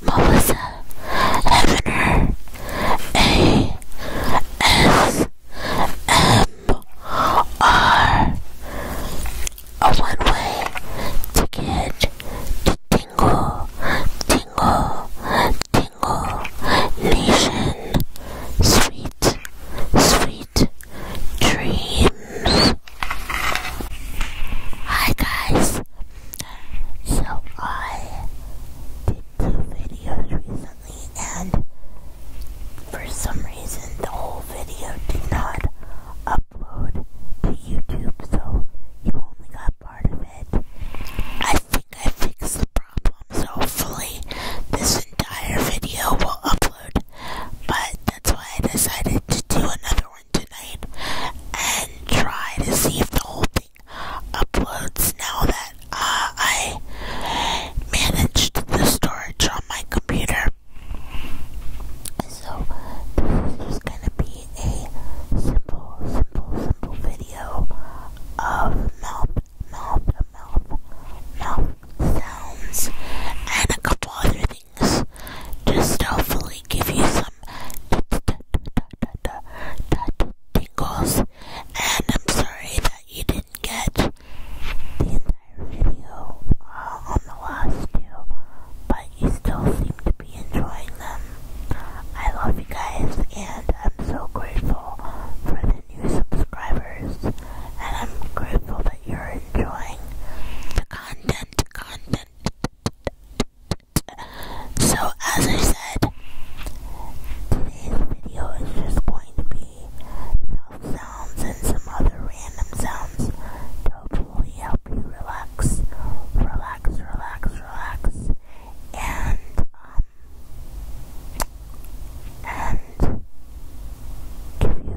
Melissa Hefner A S M R A one way ticket to Tingle Tingle Tingle Nation Sweet Sweet Dreams Hi guys so I did two videos recently and for some reason the whole video did not upload to YouTube so you only got part of it. I think I fixed the problem so hopefully this entire video will upload but that's why I decided to do another one tonight and try to see if the whole thing uploads now that uh, I managed the storage on my computer. So, this is gonna be a simple, simple, simple video of mouth, mouth, mouth, mouth sounds and a couple other things. Just hopefully give you some tingles. And I'm sorry that you didn't get the entire video uh, on the last two, but you still seem to be enjoying them. I love you guys, and I'm so grateful for the new subscribers, and I'm grateful that you're enjoying the content, content, so as I said, today's video is just going to be mouth sounds and some other random sounds hopefully help you relax, relax, relax, relax, and um, and give you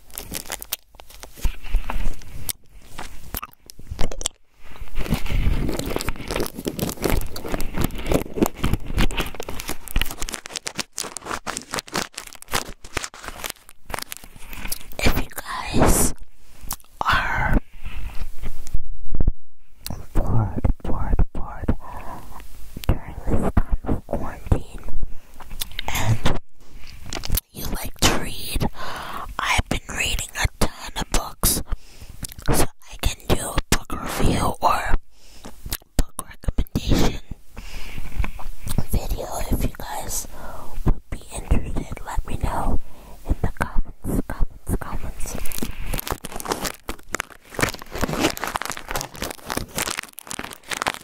If you guys are bored, bored, bored during this time of quarantine, and you like to read, I've been reading a ton of books, so I can do a book review or book recommendation video if you guys would be interested. Let me know in the comments, comments, comments.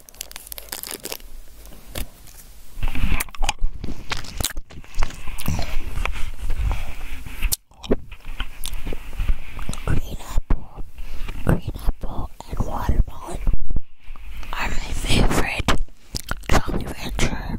Green apple, green apple, and watermelon are my favorite Jolly Rancher,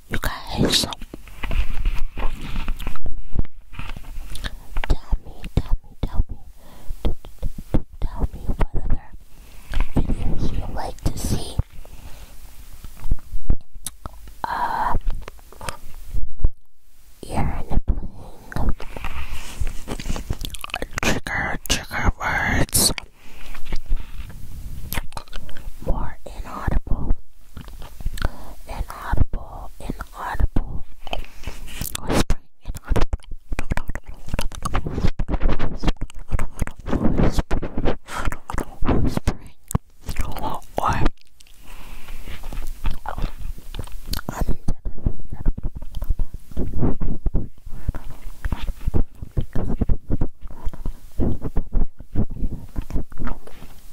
you guys. Tell me, tell me, tell me, tell me what other videos you like to see. Uh, you Trigger, trigger words more inaudible, inaudible, inaudible, whispering, inaudible, whispering, whispering, or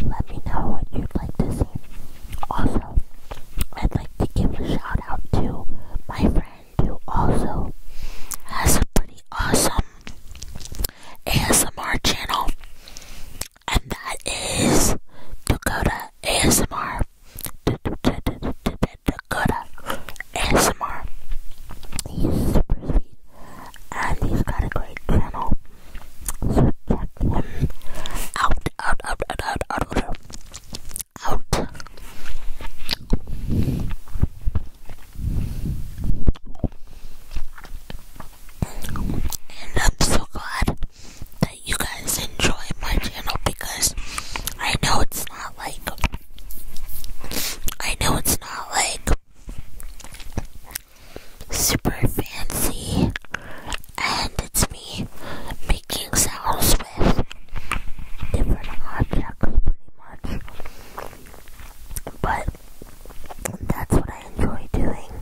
Let me know what you'd like to see. Also, I'd like to give a shout out to my friend who also has a pretty awesome ASMR channel, and that is Dakota ASMR. Dakota ASMR. He's super sweet, and he's got a great channel. check him out, out, out, out, out, out out. And I'm so glad that you guys enjoy my channel because I know it's not like I know it's not like super fancy and it's me making sounds different objects pretty much. But that's what I enjoy doing,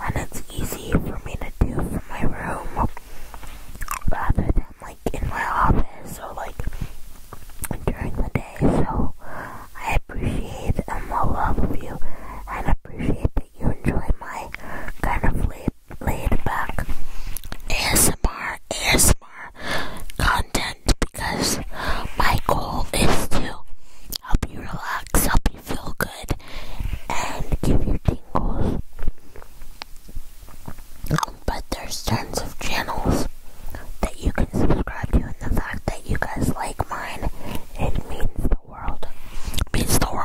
and it's easy for me to do from my room rather than like in my office or like during the day. So I appreciate um, and love you, and appreciate that you enjoy my kind of laid, back ASMR, ASMR content because my goal is to help you relax, help you feel good, and give you tingles. Um, but there's tons of channels that you can subscribe to, and the fact that you guys like mine, it means the world. It means the world.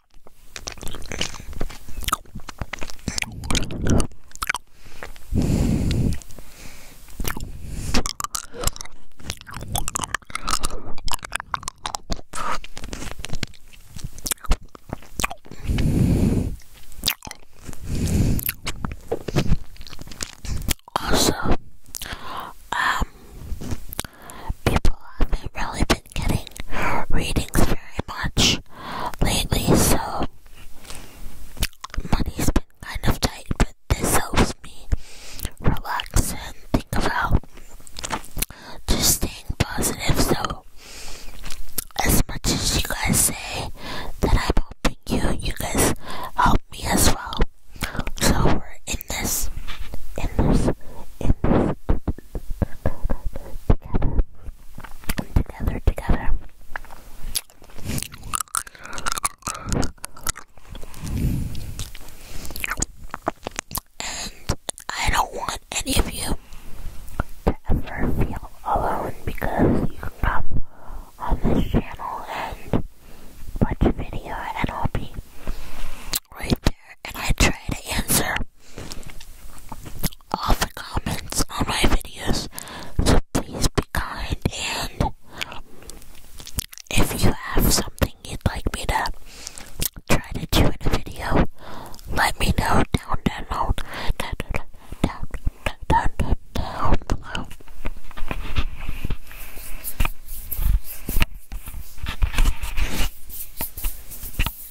Also, um, people have been really been getting readings very much lately, so money's been kind of tight, but this helps me relax and think about just staying positive. So, as much as you guys say that I'm hoping you, you guys help me as well. So we're in this, in this, in this together together, together. And I don't want any of you to ever feel alone because you come on this channel and watch a video and I'll be right there and I try to answer all the comments on my videos, so please be kind and if you have something you'd like me to try to do in a video, let me know down down down down down down down,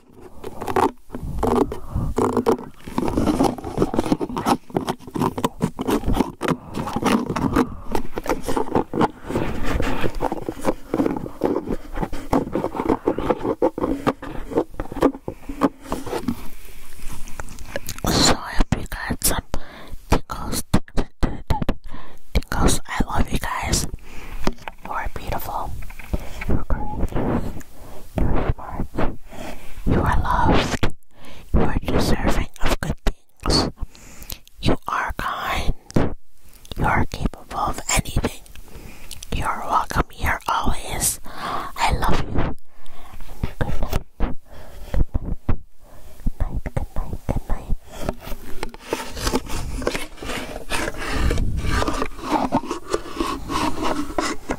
So I hope you some tickles. Tickles, I love you guys. You are beautiful. You are smart. You are loved. You are deserving of good things. You are kind. You are capable of anything. You are welcome here always. I love you. Good night. Good night. Good night. Good night. Good night.